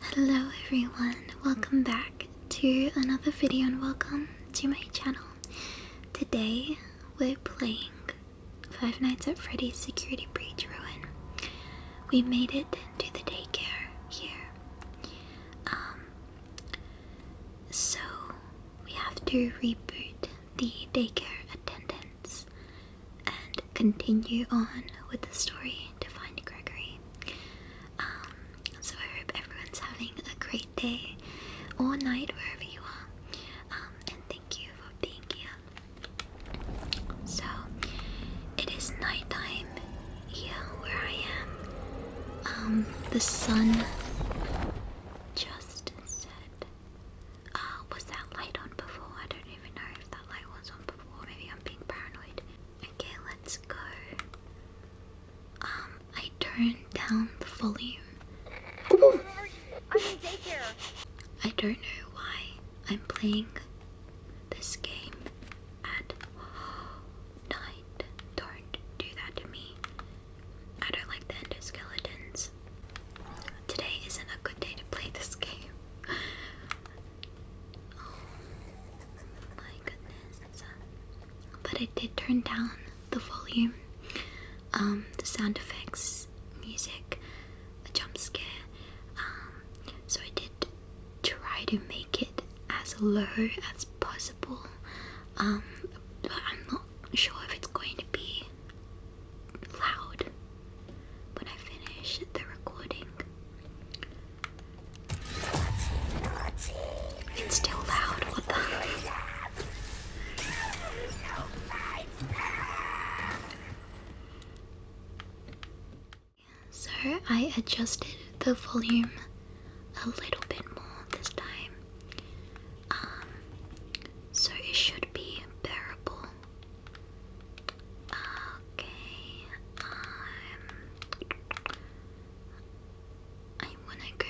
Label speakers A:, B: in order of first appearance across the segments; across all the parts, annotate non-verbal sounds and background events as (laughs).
A: Hello everyone, welcome back to another video and welcome to my channel. Today we're playing Five Nights at Freddy's Security Breach Ruin. We made it to the daycare here. Um, so we have to reboot the daycare attendance and continue on with the story to find Gregory. Um, so I hope everyone's having a great day or night wherever you are. Um, and thank you for being here. So it is nighttime here where I am. Um, the sun just set. Uh, was that light on before? I don't even know if that light was on before. Maybe I'm being paranoid. Okay, let's go. Um, I turned down the volume. I don't know why I'm playing this game at night. Don't do that to me. I don't like the endoskeletons. Today isn't a good day to play this (laughs) game. Oh my goodness. But I did turn down the volume, um, the sound effects, music, a jump scare. Um, so I did try to make it as low as possible. Um, but I'm not sure if it's going to be loud when I finish the recording. It's still loud, what the (laughs) So I adjusted the volume a little bit more this time. Um so it should be bearable Okay, um, I wanna go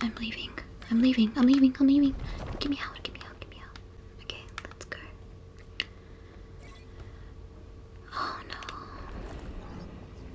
A: I'm leaving. I'm leaving. I'm leaving. I'm leaving. Give me out. Give me out. Give me out. Okay, let's go. Oh no.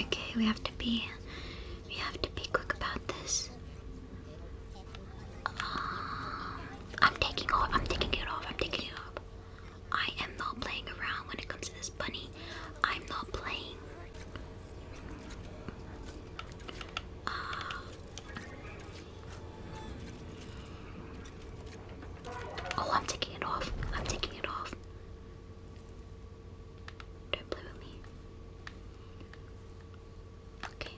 A: Okay, we have to be we have to be quick about this. Um, I'm taking off. I'm taking it off. I'm taking it off. I am not playing around when it comes to this bunny. I'm not playing. Uh, oh, I'm taking it off. I'm taking it off. Don't play with me. Okay.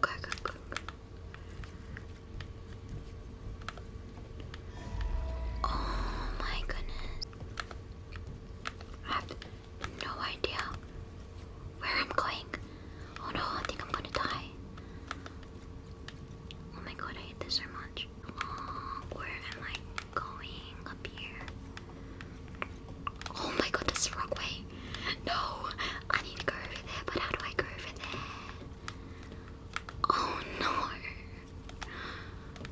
A: Go, go, go, Oh my goodness. I have no idea where I'm going. Oh no, I think I'm gonna die. Oh my god, I hate this so much. where am I going? Up here. Oh my god, that's wrong way. No, I need to go over there, but how do I go over there? Oh no.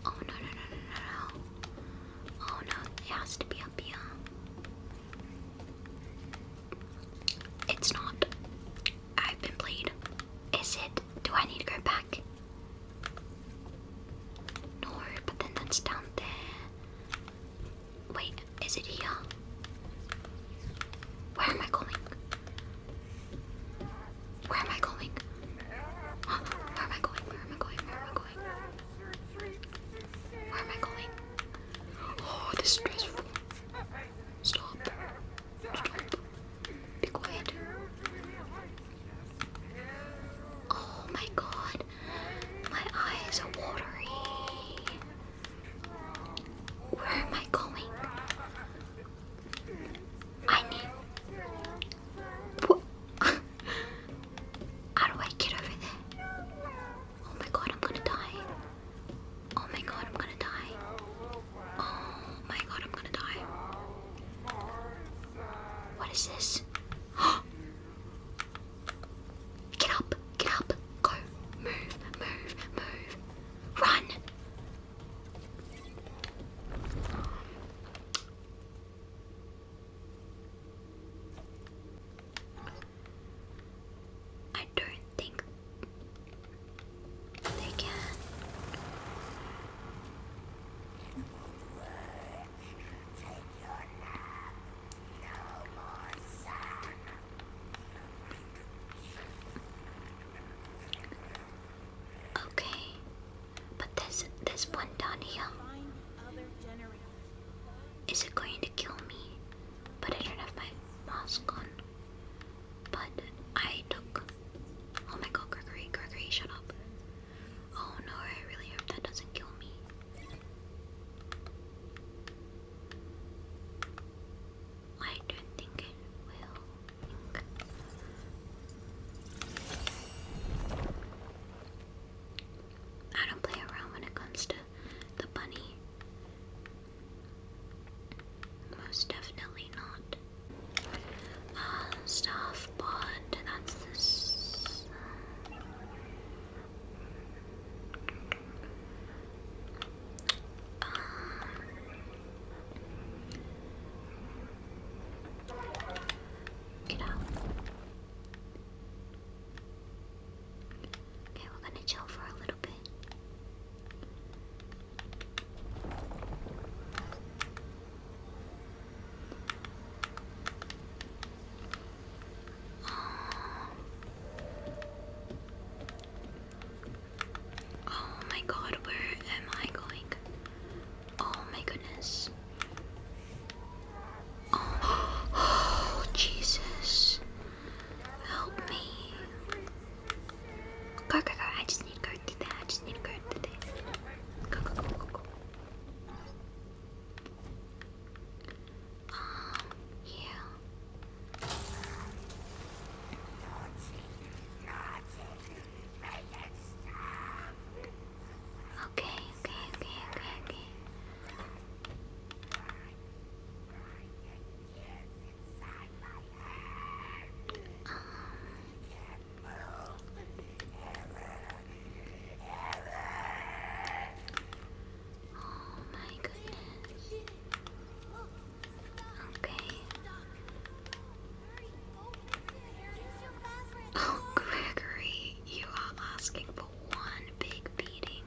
A: Oh no, no, no, no, no, no. Oh no, it has to be up here. It's not. I've been played. Is it? Do I need to go back? No, but then that's down there. Wait, is it here? Where am I going? Where am I going? Huh? Where am I going? Where am I going? Where am I going? Where am I going? Oh, this is stressful. Stop. Stop. Be quiet. Oh my god. My eyes are watery. Where am I going? I need. (laughs) How do I get over there? Oh my god, I'm gonna die. Oh my god, I'm gonna die. Oh my god, I'm gonna die. What is this? (gasps) Get up, get up, go, move, move, move, run. I don't think they can. Okay, but this this one down here is it going to kill me? but I don't have my mask on. But I took. Oh my god, Gregory, Gregory, shut up. Oh no, I really hope that doesn't kill me. I don't think it will. I don't play around when it comes to the bunny. Most definitely not. Uh, staff bond, that's this. Um, get out. Okay, we're gonna chill for a little bit. Um, oh my god, where am I going? Oh my goodness. (gasps) Oh, Jesus. Help me. Go, go, go. I just need to go to there. I just need to go to there. Go, go, go, go, go. Um, yeah. Okay, okay, okay, okay, okay. Oh my goodness. Okay. Oh Gregory, you are asking for one big beating.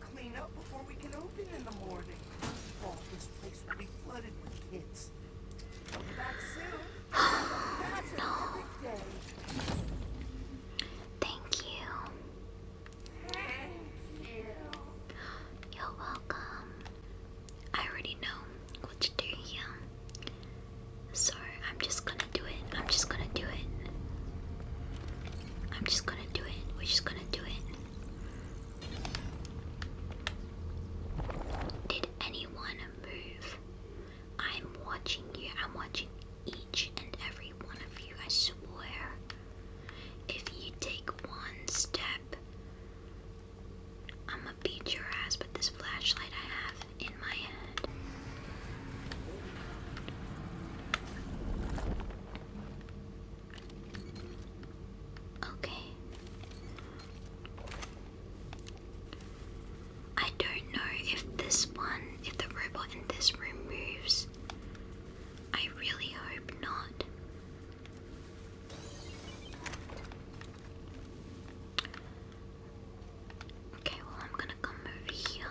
A: clean up before we can open in the morning. Oh, this place will be flooded with kids. Come back soon. no. Thank you. You're welcome. I already know what to do here. So I'm just gonna do it. I'm just gonna do it. I'm just gonna do it. We're just gonna do it. Did anyone move? I'm watching you. I'm watching each and every one of you, I swear. If you take one step, I'ma beat your ass But this flashlight I have in my hand. Okay. I don't know if this one, if the robot in this room moves. I really hope not. Okay, well, I'm gonna come over here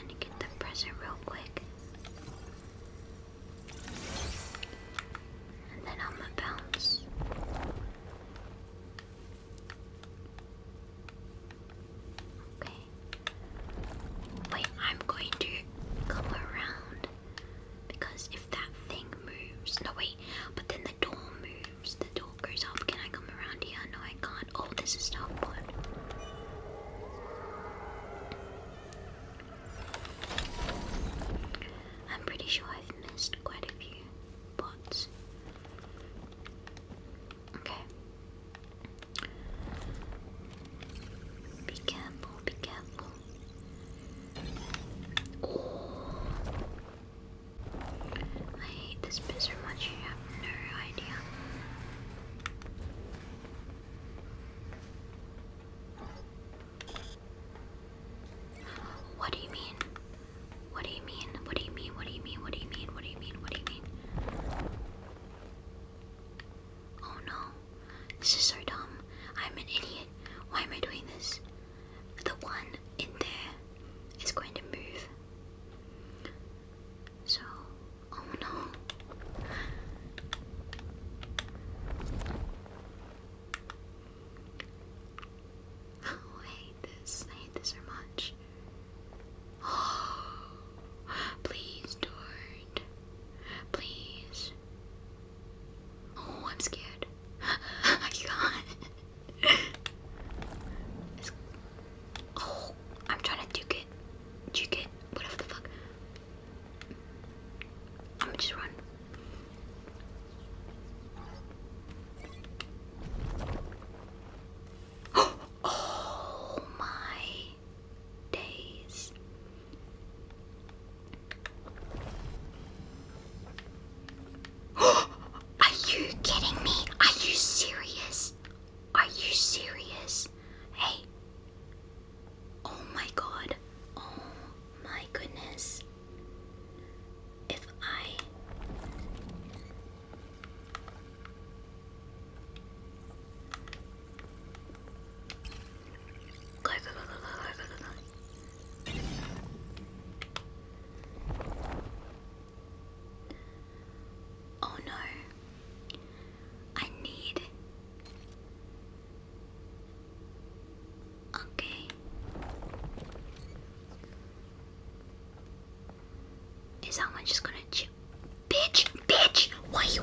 A: and get the present real quick. And then I'm gonna bounce. Okay. Wait, I'm going to go around because if that thing moves, no wait, but then the door moves, the door goes up. Can I come around here? No, I can't. Oh, this is not I'm pretty sure I've missed quite a few bots. Okay. Be careful, be careful. Oh. I hate this bit so much, have no idea. What do you mean? What do you mean? What do you mean? What do you mean? What do you mean? What do you mean? Oh no. This is so dumb. I'm an idiot. Why am I doing this? The one in there is going to move. So Oh no. I hate this. I hate this so much. Oh, (gasps) please, Dord. Please. Oh, I'm scared. (laughs) I can (laughs) Oh, I'm trying to duke it. Duke it. Whatever the fuck. I'm gonna just run. (gasps) Oh my days. (gasps) Are you kidding me? Are you serious? Are you serious? Hey! Oh my god. Oh my goodness. If I. Oh no. I need. Okay. Is someone just gonna chip? Bitch! Bitch! Why you?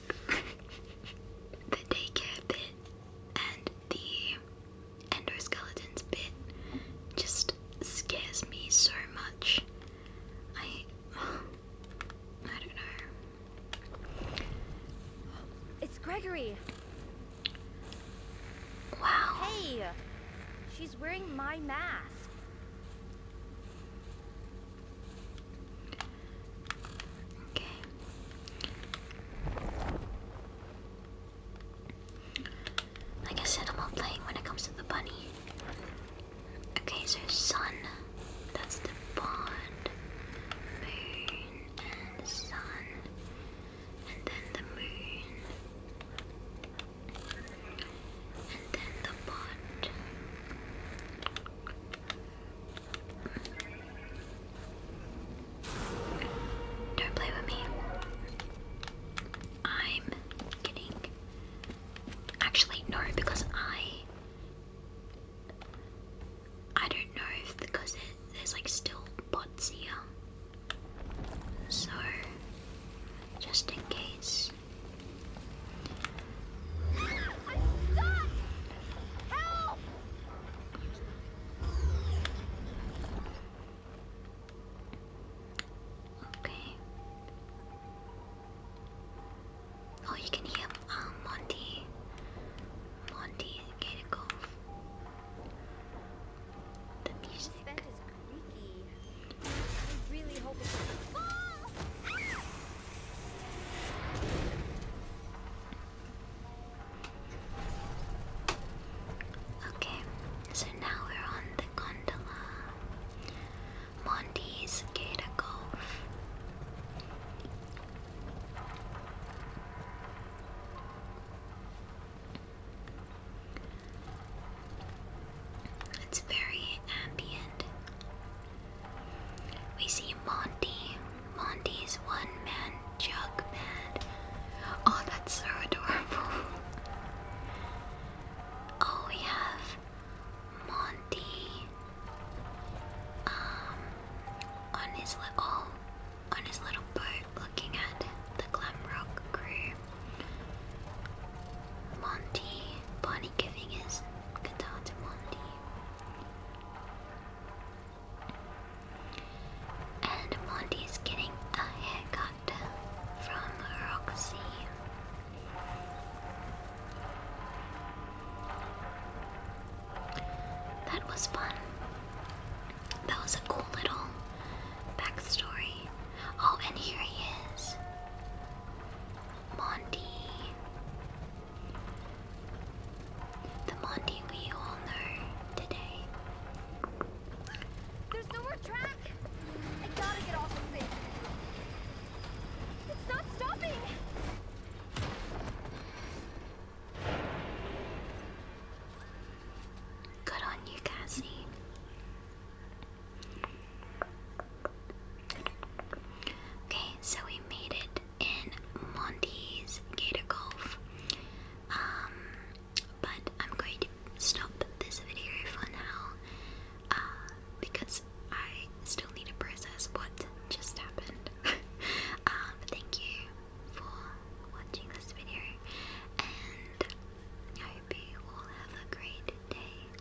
A: (laughs) the daycare bit and the endoskeletons bit just scares me so much. I (sighs) I don't know. It's Gregory. Wow. Hey. She's wearing my mask. Okay. Like I said, I'm all playing when it comes to the bunny. Okay, so sun, that's the bond, moon, and sun, and then the moon, and then the bond. Don't play with me. I'm kidding. Actually, no, because I. I don't know if because it, there's like still bots here. So, just in case. Okay. Oh, you can hear um, Monty, Monty Gaticov. The music. vent is creaky. Okay, so now we're on the gondola. Monty's Gator It's very ambient. We see Monty. Monty's one man jug man. Oh, that's so adorable. (laughs) Oh, we have Monty um, on his little oh, on his little boat looking at the glam rock crew. Monty, Bonnie giving his Cidade Mundi. And Monty's getting a haircut from Roxy. That was fun. That was a cool little backstory. Oh, and here he is. Monty. The Monty we all know today. There's no more track! I gotta get off of this! It's not stopping! Good on you, Cassie. Okay, so we made it in Monty's Gator Golf. Um, but I'm going to stop this video for now uh, because I still need to process what just happened. (laughs) um, thank you for watching this video, and I hope you all have a great day.